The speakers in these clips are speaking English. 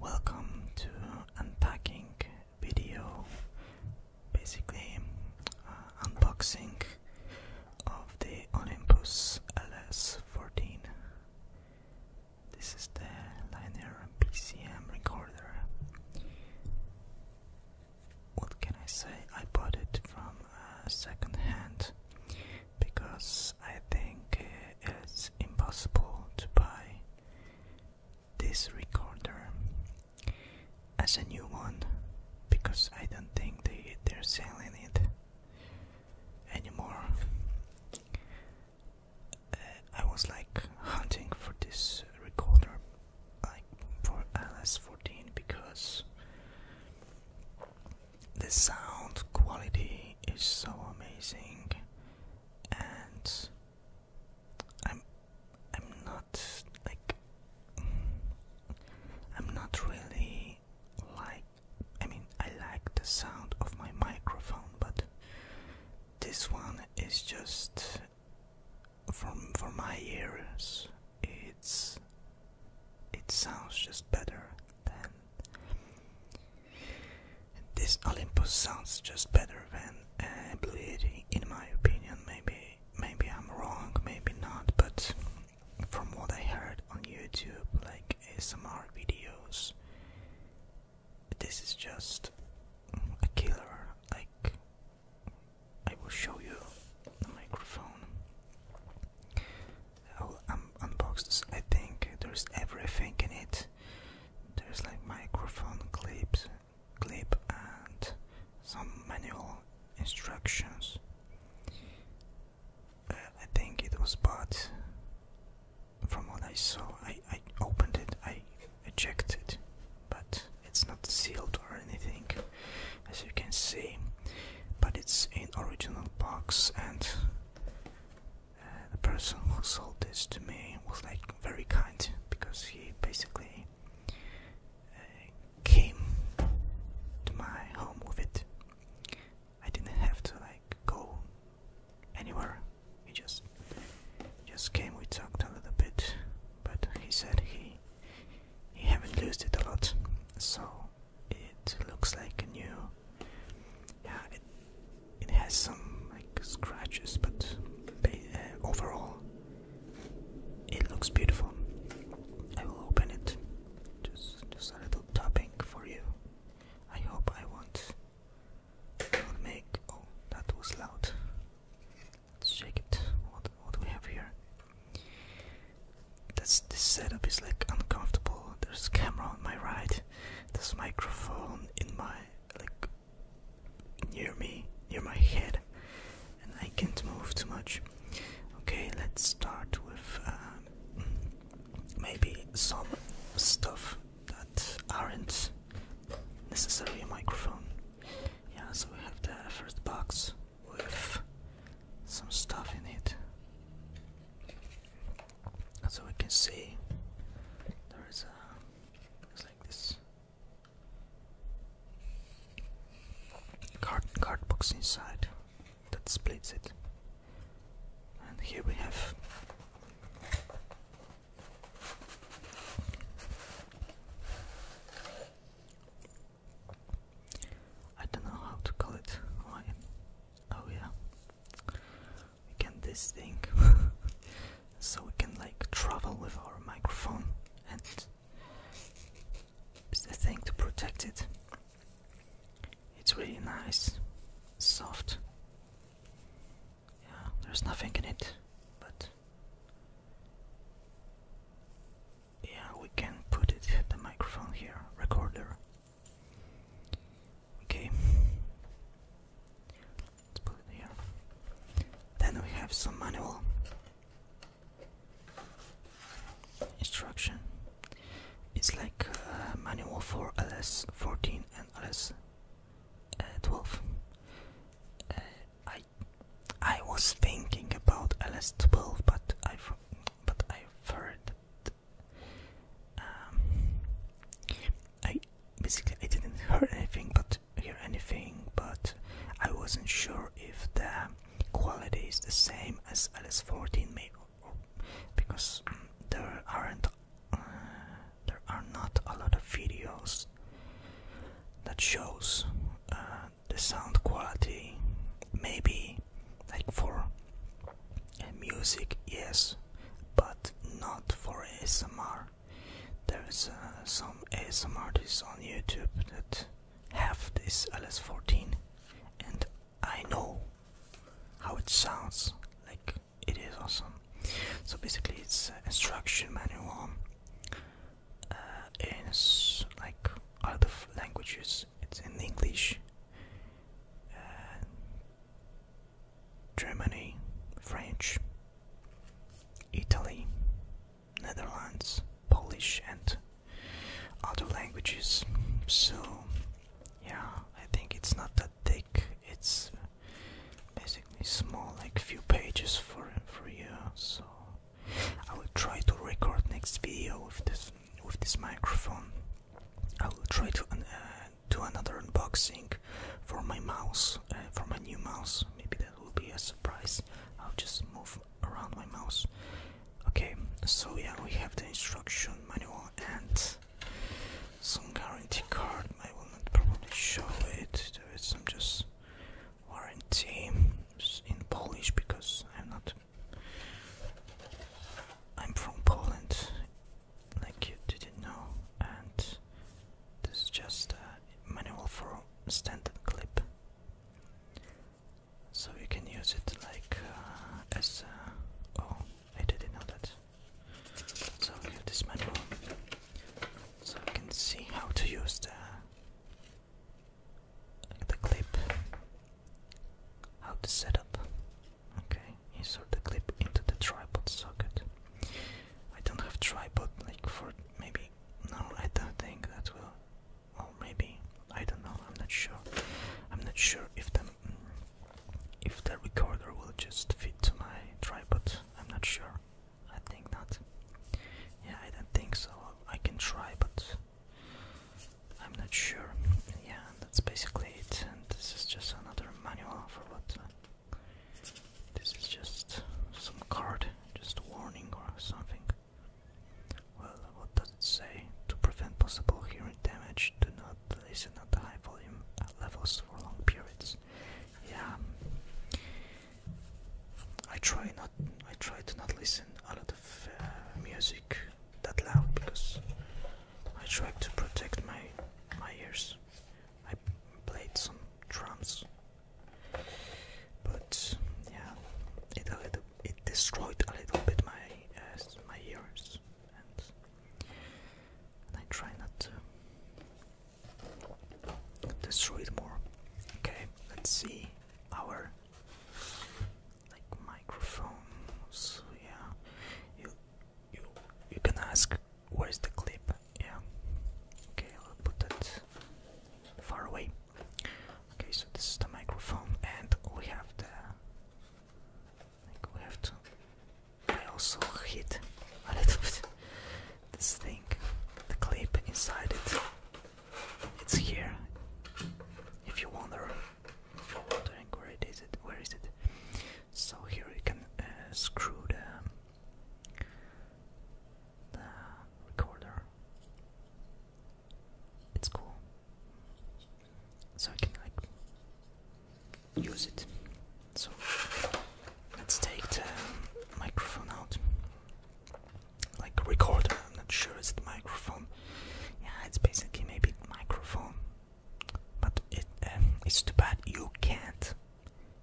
Welcome to unpacking video, basically uh, unboxing of the Olympus LS14. This is the Linear PCM recorder. What can I say? I bought it from uh, second hand because I think it's impossible to buy this recorder as a new one because I don't think they they're selling it anymore. Uh, I was like hunting for this recorder like for LS14 because the sound quality is so amazing and I'm I'm not like I'm not really like I mean I like the sound of my microphone but this one is just from for my ears it's it sounds just better than this Olympus sounds just better than uh, Blue Yeti, in my opinion. Maybe, maybe I'm wrong, maybe not. But from what I heard on YouTube, like ASMR videos, this is just a killer. Like, I will show you the microphone. I'll oh, I think there's everything in it. There's like microphone clips, clip, and some manual instructions. Uh, I think it was bought. From what I saw, I I opened it, I, ejected, but it's not sealed or anything, as you can see. But it's in original box and the person who sold this to me was like very kind because he basically uh, came to my home with it. I didn't have to like go anywhere. He just just came. We talked a little bit, but he said he he haven't used it a lot, so it looks like a new. Yeah, it has some like scratches, but uh, overall, it looks beautiful. I will open it. Just, just a little topping for you. I hope I won't, make. Oh, that was loud. Let's check it. What, what do we have here? That's this setup is like uncomfortable. There's a camera on my right this microphone in my like near me, near my head, and I can't move too much. Okay, let's start with um, maybe some stuff that aren't necessarily a microphone. Yeah, so we have the first box with some stuff in it so we can see there is a it's like this card card box inside that splits it and here we have I don't know how to call it. Oh yeah we can this thing so we can like travel with our microphone and it's the thing to protect it it's really nice soft yeah there's nothing in it but yeah we can put it the microphone here recorder Okay. Let's put it here. Then we have some manual instruction. It's like uh, manual for LS 14 and LS uh, 12. Uh, I I was thinking about LS 12, but I've but I've heard um, I basically I didn't hear anything, but hear anything, but I wasn't sure if the quality is the same as LS14, maybe, because um, there aren't uh, there are not a lot of videos that shows uh, the sound quality. Maybe like for Music, yes, but not for ASMR. There's uh, some ASMR artists on YouTube that have this LS14, and I know how it sounds. Like it is awesome. So basically, it's instruction manual uh, like other languages. It's in English. Germany, French, Italy, Netherlands, Polish, and other languages. So, yeah, I think it's not that thick. It's basically small, like few pages for for you. So, I will try to record next video with this with this microphone. I will try to uh, do another unboxing for my mouse, uh, for my new mouse. Maybe that will be a surprise. I'll just move around my mouse. Okay, so yeah, we have the instruction manual and some guarantee card. I will not probably show it. There is some just warranty in Polish because I'm not. I'm from Poland like you didn't know, and this is just a manual for standard clip, so you can use it like uh, as a, uh, oh, I didn't know that. So we have this manual, so you can see how to use the the clip, how to set up. Okay insert the clip into the tripod socket. I don't have tripod like for maybe no I don't think that will or maybe I don't know I'm not sure I'm not sure if the if the recorder will just fit to my tripod I'm not sure I think not yeah I don't think so I can try but I'm not sure yeah that's basically it. And this is just another manual for what. Uh, this is just some card, just a warning or something. Well, what does it say? To prevent possible hearing damage, do not listen at high volume levels for long periods. Yeah, I try not. I try to not listen a lot of uh, music that loud because I try to protect my my ears. I played some drums, but yeah, it a little it destroyed a little bit my uh, my ears, and, and I try not to destroy it more. Okay, let's see our like microphones. Yeah, you you you can ask Where's the clip? Yeah. Okay, I'll put it far away. Okay, so this is the microphone, and we have the. I we have to. I also hit a little bit this thing, the clip inside it. It's here. If you wonder, if you're where it is, it where is it? So here you can uh, screw the, recorder. It's cool. So I can like use it. So let's take the microphone out. Like recorder, I'm not sure it's the microphone. Yeah, it's basically maybe microphone but uh, it's too bad you can't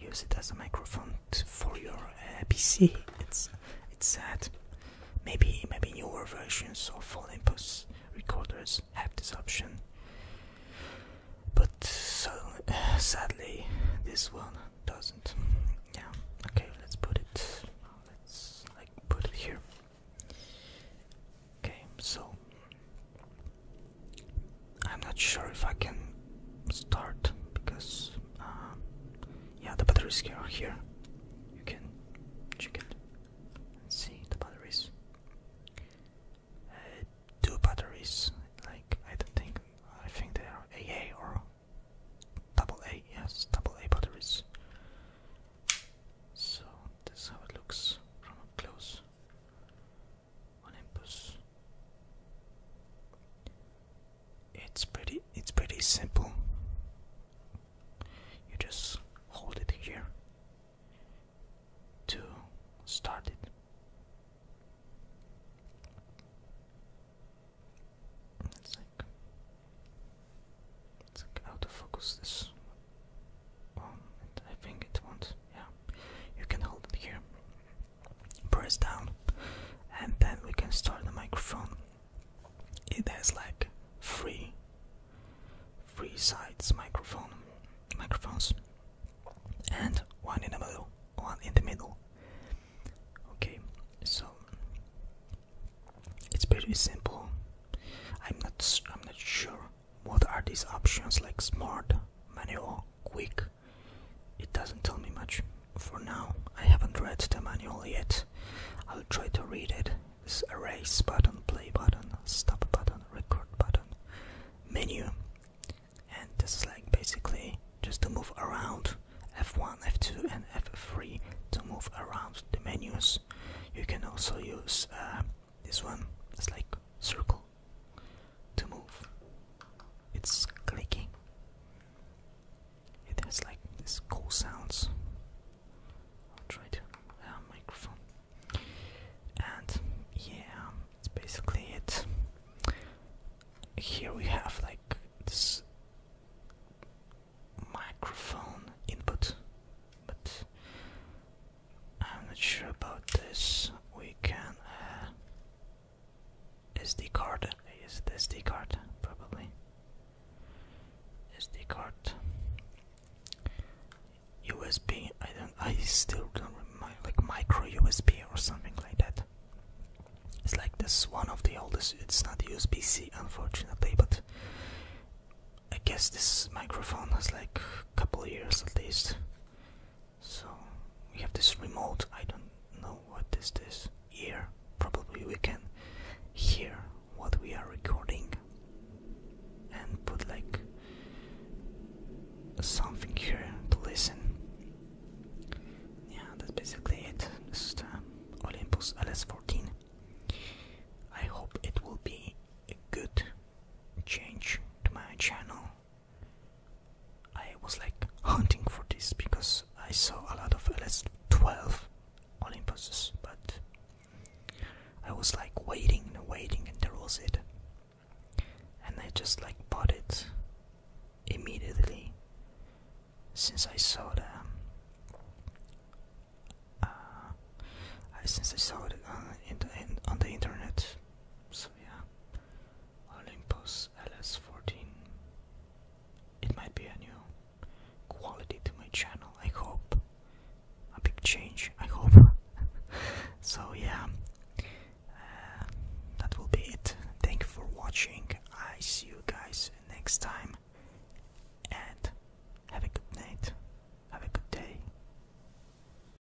use it as a microphone for your uh, PC. It's it's sad. Maybe maybe newer versions of Olympus recorders have this option, but so uh, sadly this one doesn't. Yeah. Okay. Let's put it. Let's like put it here. Okay, so I'm not sure if I can start because uh, yeah, the batteries are here. You can check it see the batteries. Uh, two batteries, like I don't think I think they are AA or double A. Yes, double A batteries. So this is how it looks from up close. Olympus. It's pretty it's pretty simple. You just hold it here to start it. It's like it's like how to focus this I think it won't yeah you can hold it here press down and then we can start the microphone it has like three three sides microphone microphones and one in the middle one in the middle okay so it's pretty simple i'm not i'm not sure what are these options like smart, manual, quick? It doesn't tell me much. For now, I haven't read the manual yet. I'll try to read it. This erase button, play button, stop button, record button, menu. And this is like basically just to move around F1, F2, and F3 to move around the menus. You can also use uh, this one, it's like circle to move. It's clicking. It has like this cool sounds. I'll try to uh, microphone. And yeah, it's basically it. Here we have like this microphone input, but I'm not sure about this. We can. Uh, SD card. Is it SD card? Probably. SD card. USB. I don't. I still don't remember. Like micro USB or something like that. It's like this one of the oldest. It's not USB C, unfortunately, but I guess this microphone has like a couple years at least. So we have this remote, I don't know what is this here. Probably we can hear what we are recording and put like something here to listen. Yeah, that's basically it. This Olympus LS14. I hope it will be a good change to my channel I was like hunting for this because I saw a lot of LS12 Olympuses, but I was like waiting and waiting, and there was it. And I just like bought it immediately since I saw the. Um, uh, since I saw it uh, on the internet, so yeah. Olympus LS14. It might be a new quality to my channel, I hope. A big change, I hope. so, yeah, uh, that will be it. Thank you for watching. I see you guys next time. And have a good night. Have a good day.